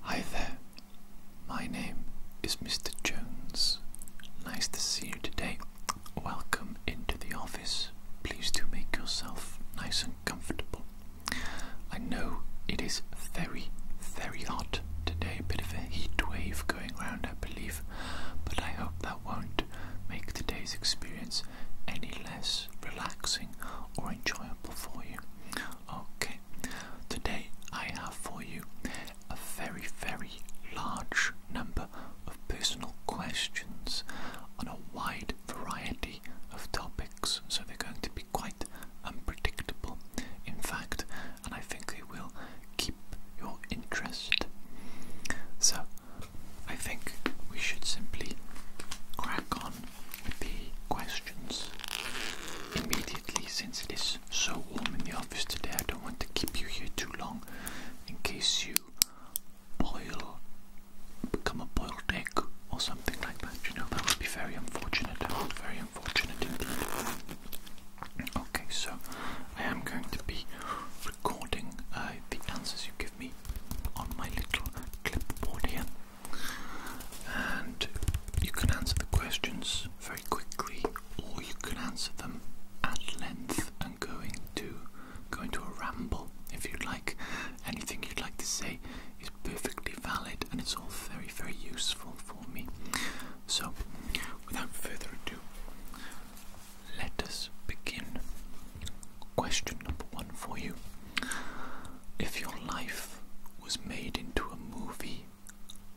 Hi there, my name is Mr. Jones. Nice to see you today. Welcome into the office. Please do make yourself nice and comfortable. I know it is very, very hot today, a bit of a heat wave going round, I believe, but I hope that won't make today's experience any less relaxing or enjoyable for you. Okay, today I have for you a very, very large number of personal questions on a wide variety of topics, so they're going to be quite unpredictable, in fact, and I think they will keep your interest. So, I think we should simply crack on on the questions immediately since it is so warm in the office today. I don't want to keep you here too long in case you boil, become a boiled egg or something like that. You know, that would be very unfortunate. Very unfortunate indeed. Okay, so I am going to be recording uh, the answers you give me on my little clipboard here and you can answer the questions very quickly, or you can answer them at length and going to go into a ramble if you'd like. Anything you'd like to say is perfectly valid, and it's all very, very useful for me. So, without further ado, let us begin. Question number one for you if your life was made into a movie,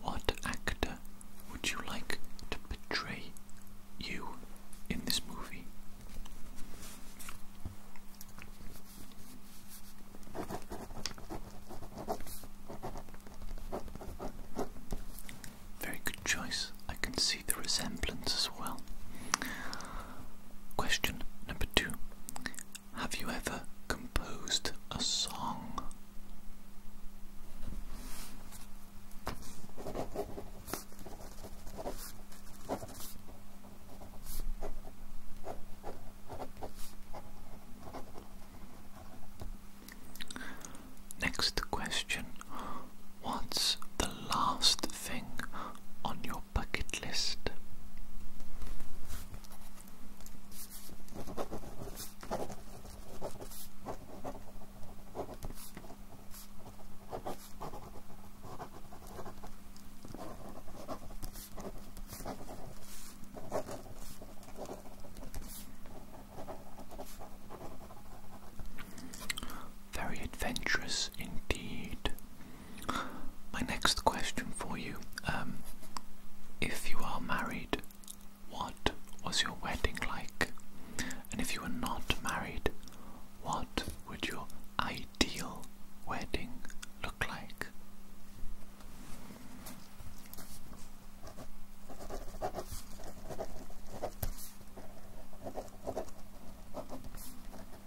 what actor would you like to portray you in this movie? Very good choice. I can see the resemblance as well. Question number two have you ever composed a song? Next question What's the last thing on your bucket list. Very adventurous indeed. My next question for you um, if you are married, what was your wedding like? And if you were not married, what would your ideal wedding look like?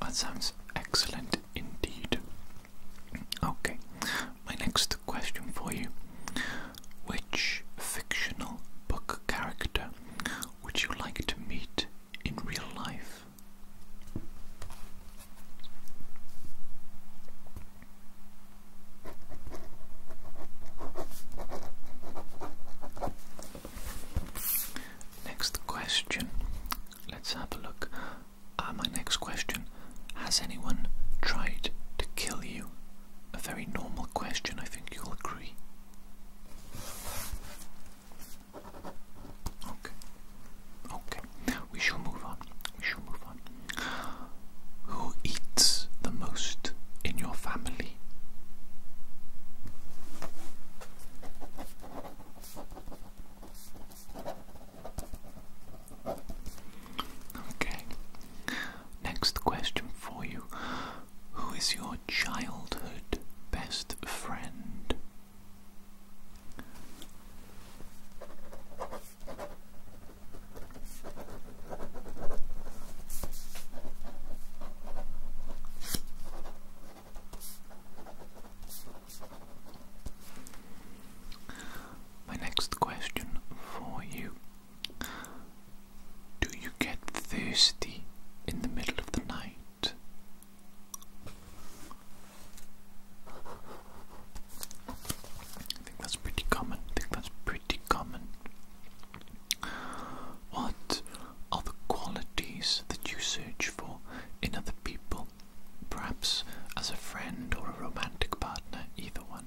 That sounds excellent indeed. Okay, my next question for you. Which fictional book character would you like to meet in real life? Next question. Let's have a look. Uh, my next question Has anyone tried to kill you? A very normal question, I think you'll agree. Okay. Okay. We shall move on. We shall move on. Who eats the most in your family? Okay. Next question for you. Who is your childhood best friend? My next question for you Do you get thirsty in the middle of the night? I think that's pretty common. I think that's pretty pretty common. What are the qualities that you search for in other people, perhaps as a friend or a romantic partner, either one?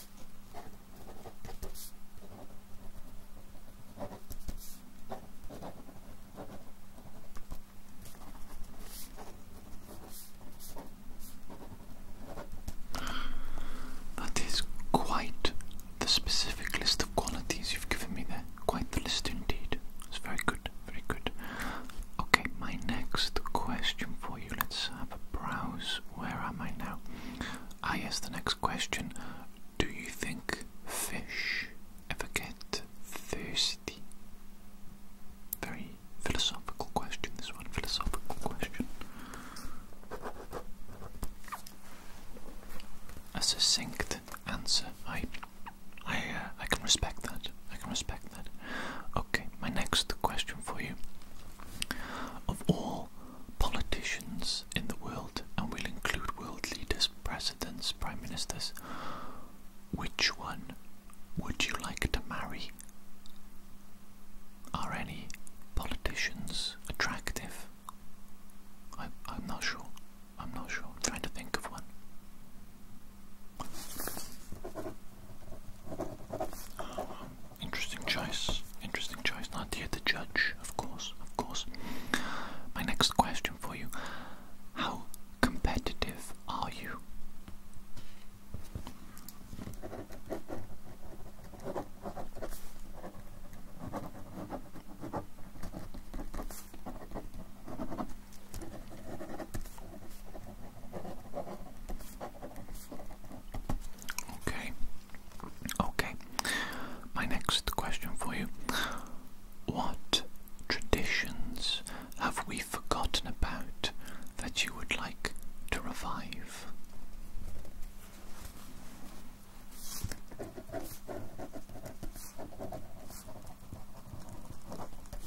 That is quite the specific list of qualities you've given me there. Quite the list indeed. It's very good, very good. Okay, my next question for you. Let's have a browse where am I now? I ask the next question. Do you think fish ever get thirsty? Very philosophical question, this one. Philosophical question. A succinct answer. I, I, uh, I can respect that. I can respect that. Okay, my next question for you of all politicians in the world, and will include world leaders, presidents, prime ministers, which one would you like to marry? Are any politicians attractive? I, am not sure. I'm not sure. I'm trying to think of one. Um, Interesting choice. Interesting choice. Not here to judge, of course, of course. My next question for you How competitive are you? Okay. Okay. My next question for you. What traditions have we forgotten about that you would like to revive?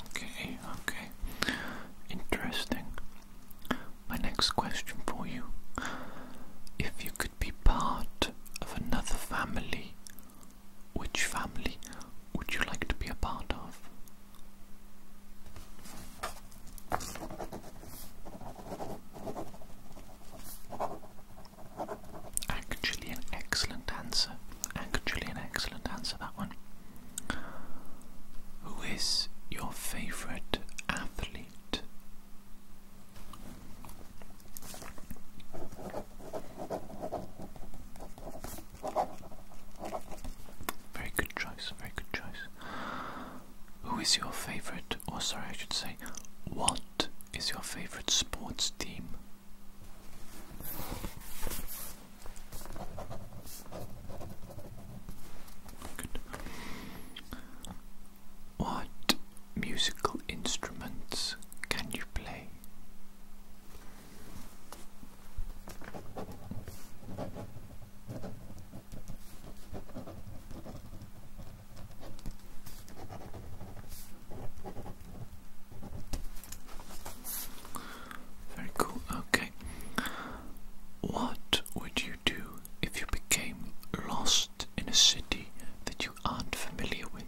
Okay, okay. Interesting. My next question for you. If you could be part of another family, which family would you like to be a part of? Actually, an excellent answer. Actually, an excellent answer, that one. Who is your favourite athlete? Very good choice, very good choice. Who is your favorite, or sorry, I should say, what is your favorite sports team? What musical instruments can you play? Very cool. Okay. What would you do if you became lost in a city that you aren't familiar with?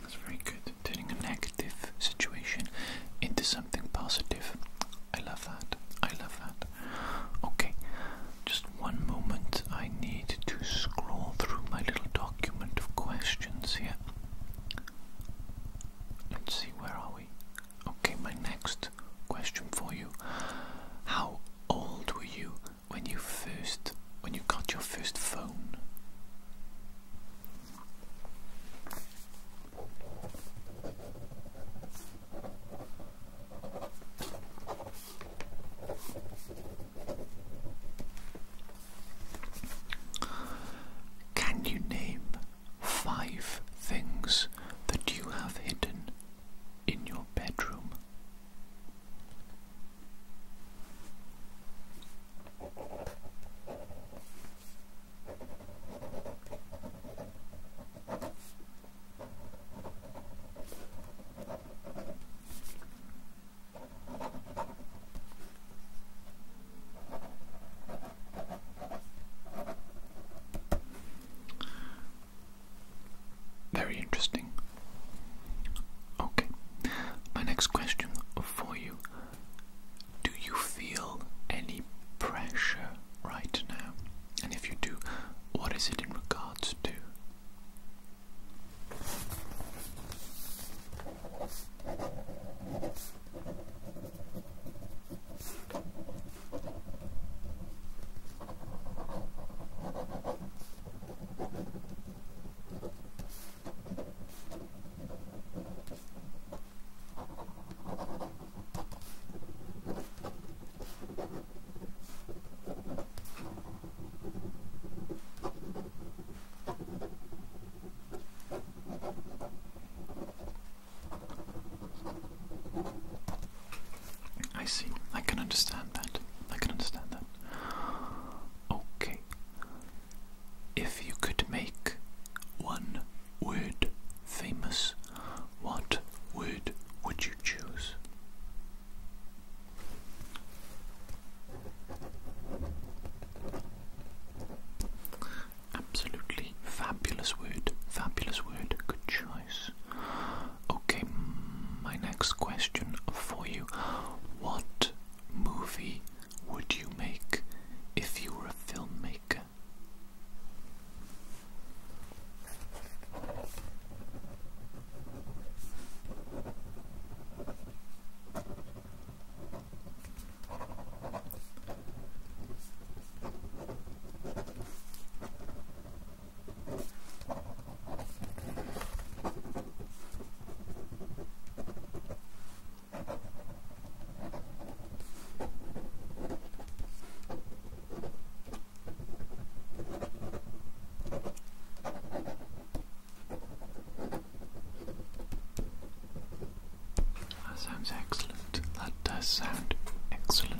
That's very good turning a negative situation into something positive. I love that. I love that. Okay, just one moment. I need to scroll through my little document of questions here. Let's see, where are we? Okay, my next question for you. How old were you when you first when you got your first phone? Can you name five things that you have hidden in your bedroom? Very interesting. Okay, my next question for you do you feel any pressure right now? And if you do, what is it in regards to? I see. I can understand that. I can understand that. Okay, if you could make one word famous, what word would you choose? Absolutely fabulous word, fabulous word, good choice. Okay, my next question for you. What movie would you make if you were a filmmaker? That sounds excellent. That does sound excellent.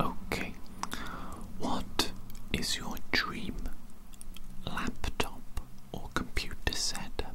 Okay. What is your dream laptop or computer setup?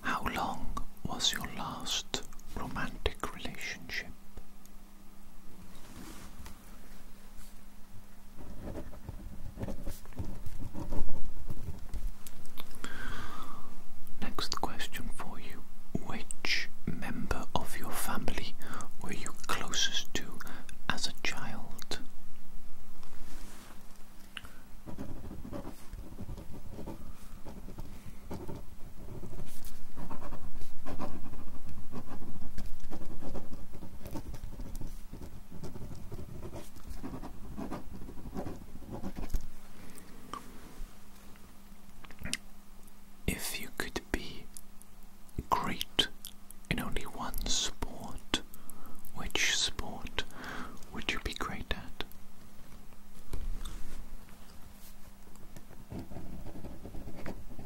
How long was your last romantic relationship? Next question for you. Which member of your family were you closest to as a child? If you could be great in only one sport, which sport would you be great at?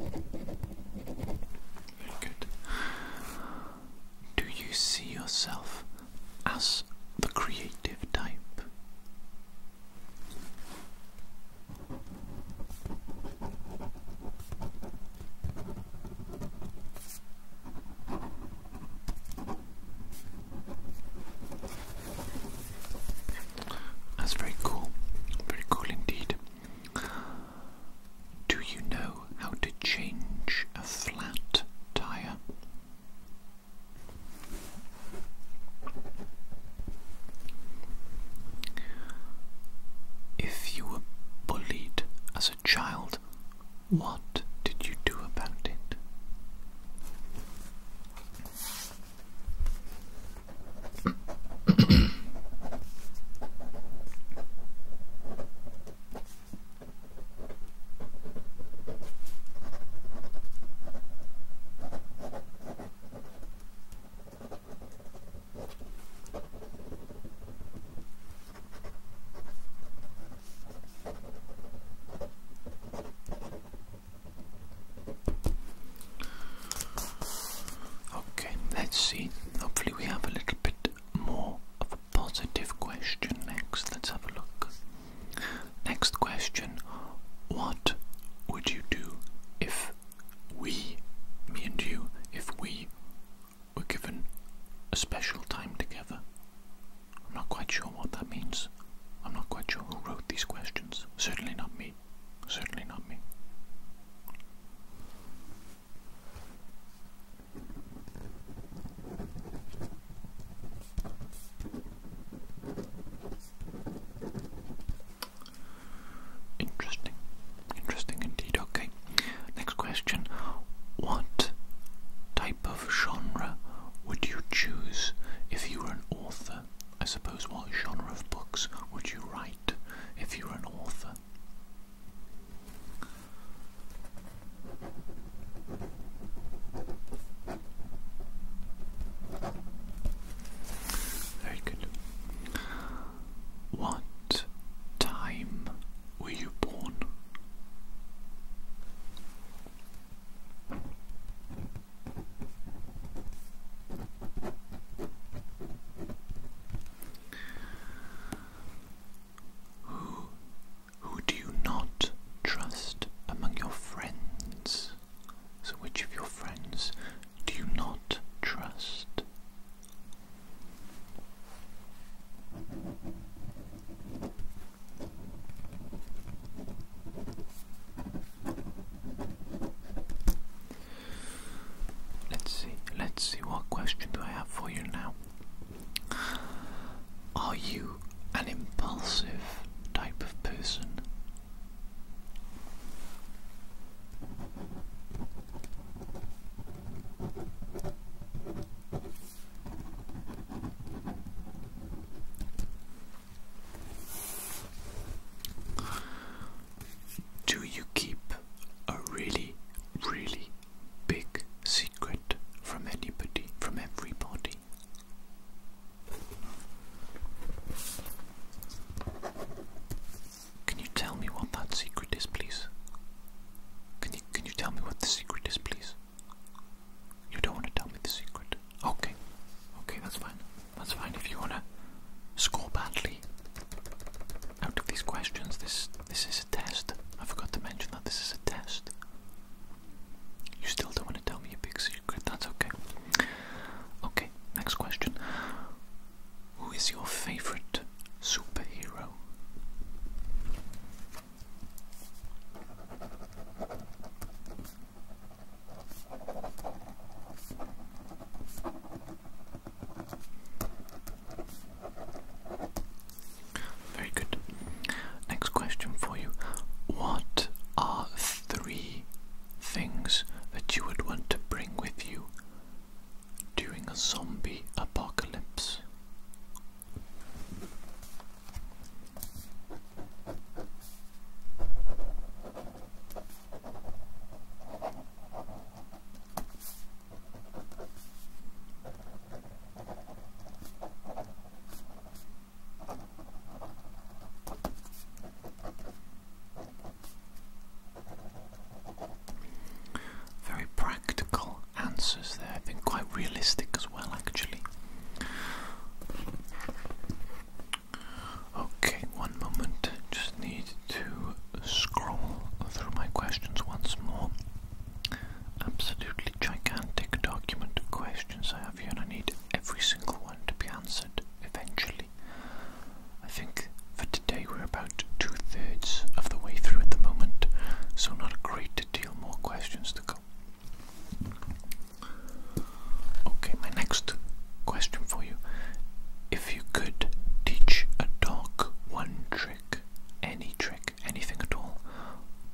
Very good. Do you see yourself as the creative type? That's very cool, very cool indeed. Do you know how to change a flat tire? If you were bullied as a child, what did you do about it? Okay, let's see. Hopefully, we have a little bit more of a positive question next. Let's have a look. Next question What would you do if we, me and you, if we were given a special time together? I'm not quite sure what that means. I'm not quite sure who wrote these questions. Certainly not me. Certainly not me. Interesting. Interesting indeed. Okay. Next question. What type of genre would you choose if you were an author? I suppose what genre of books would you write if you were an author? Very good. What time were you born? Who, who do you not trust among your friends? So, which of your friends do you not trust? Let's see, let's see what question do I have for you now. Are you an impulsive type of person? Do you keep a really, really big secret from anybody, from everybody? Can you tell me what that secret is, please? Can you can you tell me what the secret is, please? You don't want to tell me the secret. Okay. Okay, that's fine. That's fine. If you want to score badly out of these questions, this this is a test. I forgot to mention that this is a test. You still don't want to tell me a big secret. That's okay. Okay, next question. Who is your favorite superhero? Very good. Next question for you. What are three things that you would want to bring with you during a zombie apocalypse? Very practical answers there have been quite realistic as well, actually. Okay, one moment. Just need to scroll through my questions once more. Absolutely gigantic document of questions I have here, and I need every single one to be answered eventually. I think for today we're about two thirds of the way through at the moment, so not a great more questions to come. Okay, my next question for you. If you could teach a dog one trick, any trick, anything at all,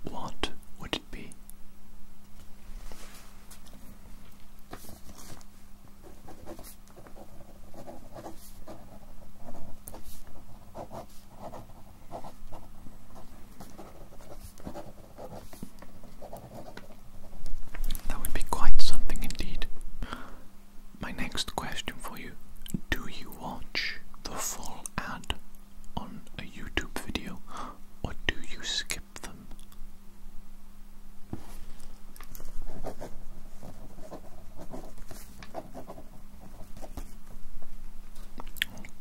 what would it be? That would be quite something indeed. My next question for you Do you watch the full ad on a YouTube video or do you skip them?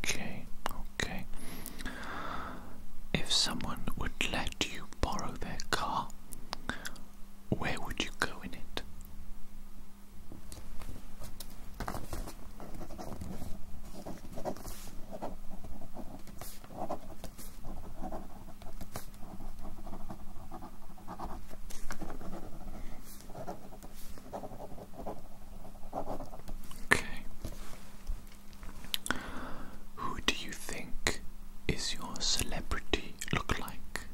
Okay, okay. If someone would let you borrow their car, where would you go in it? Okay. Who do you think is your celebrity look like?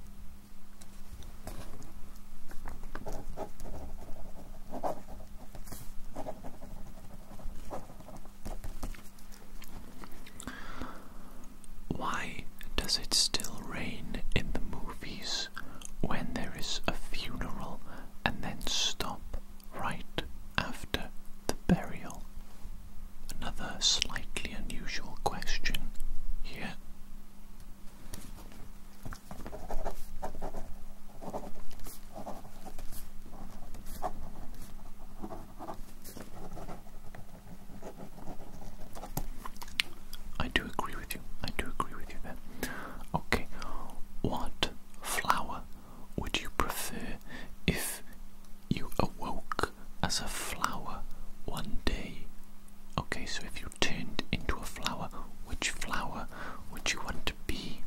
Why does it still rain in the movies? when there is a funeral and then stop right after the burial. Another slightly unusual question here. I do agree I do agree with you there. Okay, what flower would you prefer if you awoke as a flower one day? Okay, so if you turned into a flower, which flower would you want to be?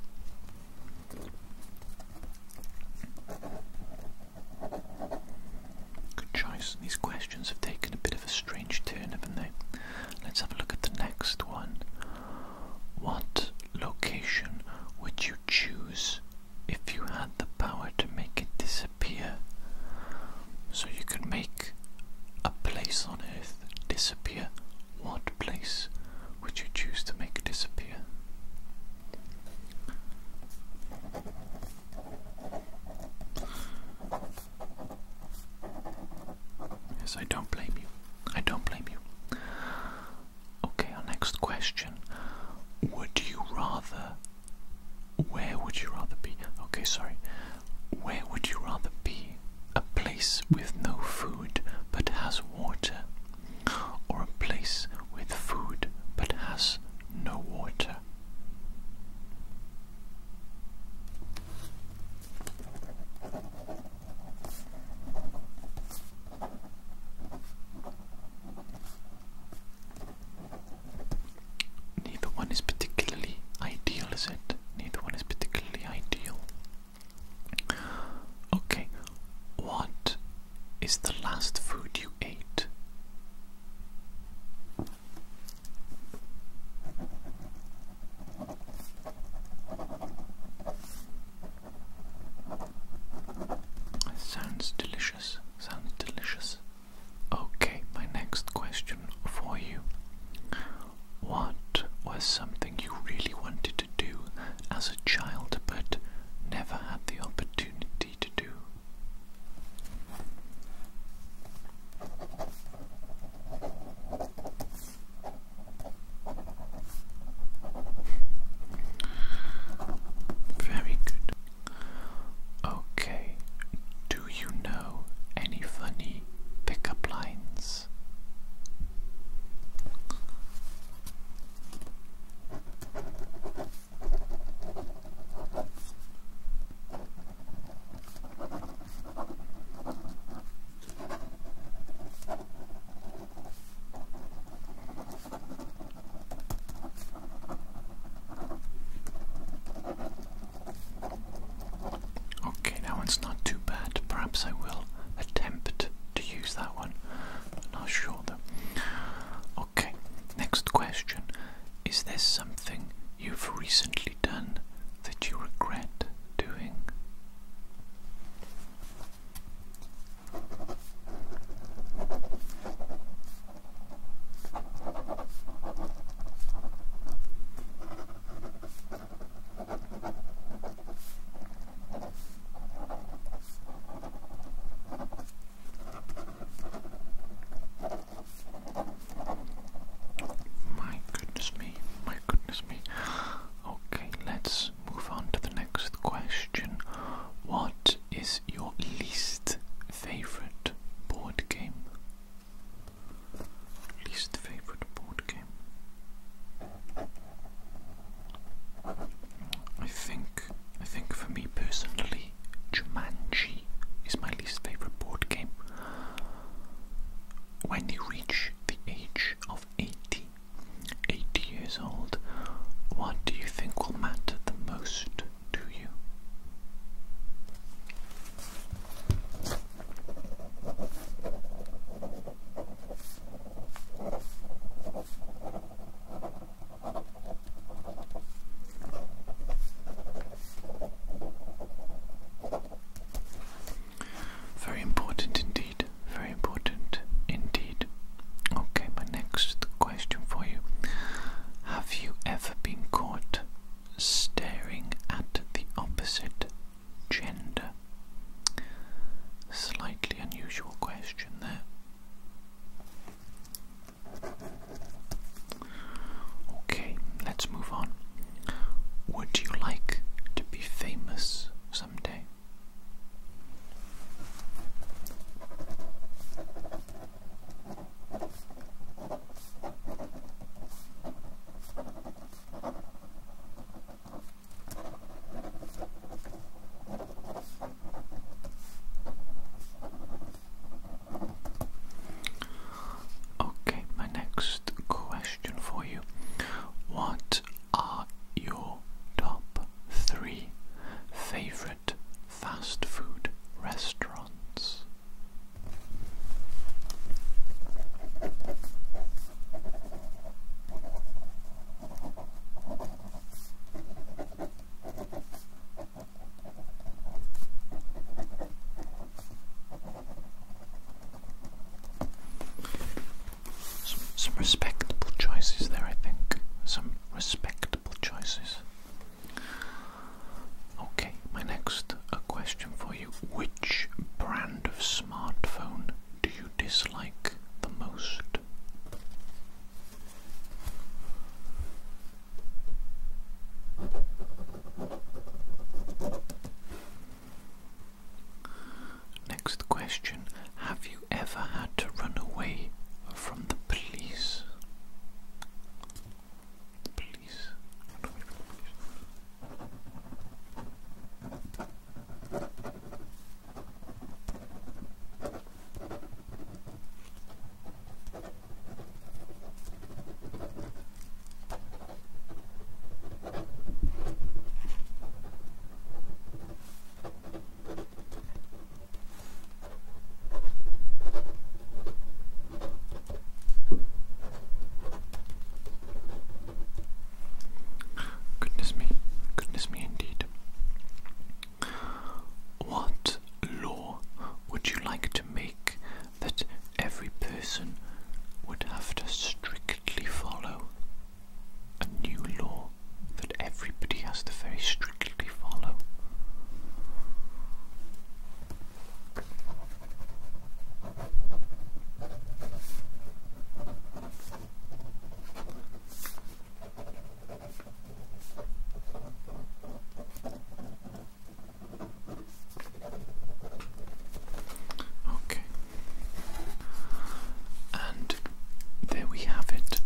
Good choice. These questions have taken a bit of a strange turn, haven't they? Let's have a look at the next one. What location would you choose if you had the power to make it disappear? So you could make a place on Earth disappear. What place would you choose to make disappear? Yes, I don't blame you. I don't blame you. Okay, our next question. Would you rather. Where would you rather be? Okay, sorry. Where would you rather be? A place with no food but has water, or a place with food but has no water? Neither one is particularly ideal, is it? Neither one is particularly ideal. Okay, what is the last food you ate? Sounds delicious, sounds delicious. Okay, my next question for you. What was something you really wanted to do as a child but never had the opportunity to do? Very good. Okay, do you know any funny pickup lines? Okay, that one's not too bad. Perhaps I will attempt to use that one. I'm not sure though. Okay, next question. Is there something you've recently done that you regret doing? My goodness me, my goodness me. Okay, let's move on to the next question. What is your least favorite board game? Least favorite board game. I think I think for me personally Jumanji is my least favorite board game when you reach the age of 80, 80 years old, what do you think will matter the most to you? Very important indeed. Very important indeed. Okay, my next question for you. Have you ever been caught staring at the opposite gender? Slightly unusual question there. Okay, let's move on. Would you like to be famous someday? Okay, my next question for you. What are your top three favorite fast food restaurants? Some, respectable choices there, I think. Some respectable choices. Okay, my next question for you. Which brand of smartphone do you dislike the most? Next question Have you ever had to run away from the police? Goodness me, goodness me indeed. What law would you like to make that every person would have to strictly follow a new law that everybody has to very strictly follow. Okay. And there we have it.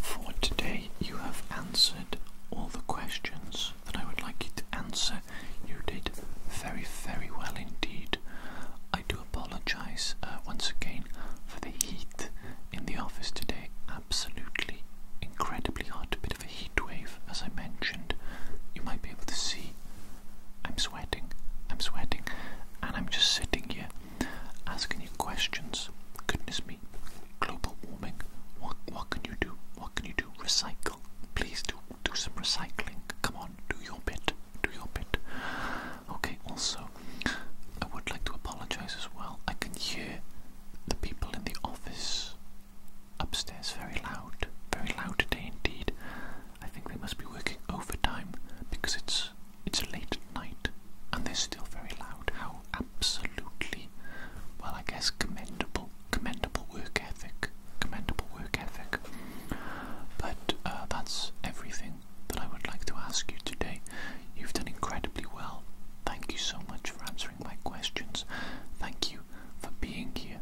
For today, you have answered all the questions that I would like you to answer. You did very, very well indeed. I do apologise uh, once again for the heat in the office today. Absolutely incredibly hot, a heat wave, as I mentioned. You might be able to see I'm sweating, I'm sweating, and I'm just sitting here asking you questions. Goodness me, global warming. What what can you do? What can you do? Recycle. Please do do some recycling. Come on, do your bit. Do your bit. Okay, also I would like to apologize as well. I can hear the people in the office upstairs very loud, very loud today indeed. I think they must be working overtime because it's it's late night and they're still very loud. How absolutely well I guess commendable commendable work ethic. Commendable work ethic. But uh, that's everything that I would like to ask you today. You've done incredibly well. Thank you so much for answering my questions. Thank you for being here.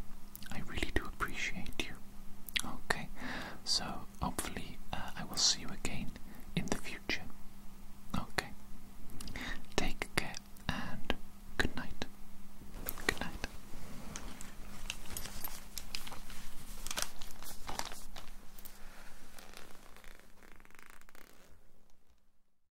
I really do appreciate you. Okay, so hopefully uh, I will see you again in the future. Okay, take care and good night. Good night.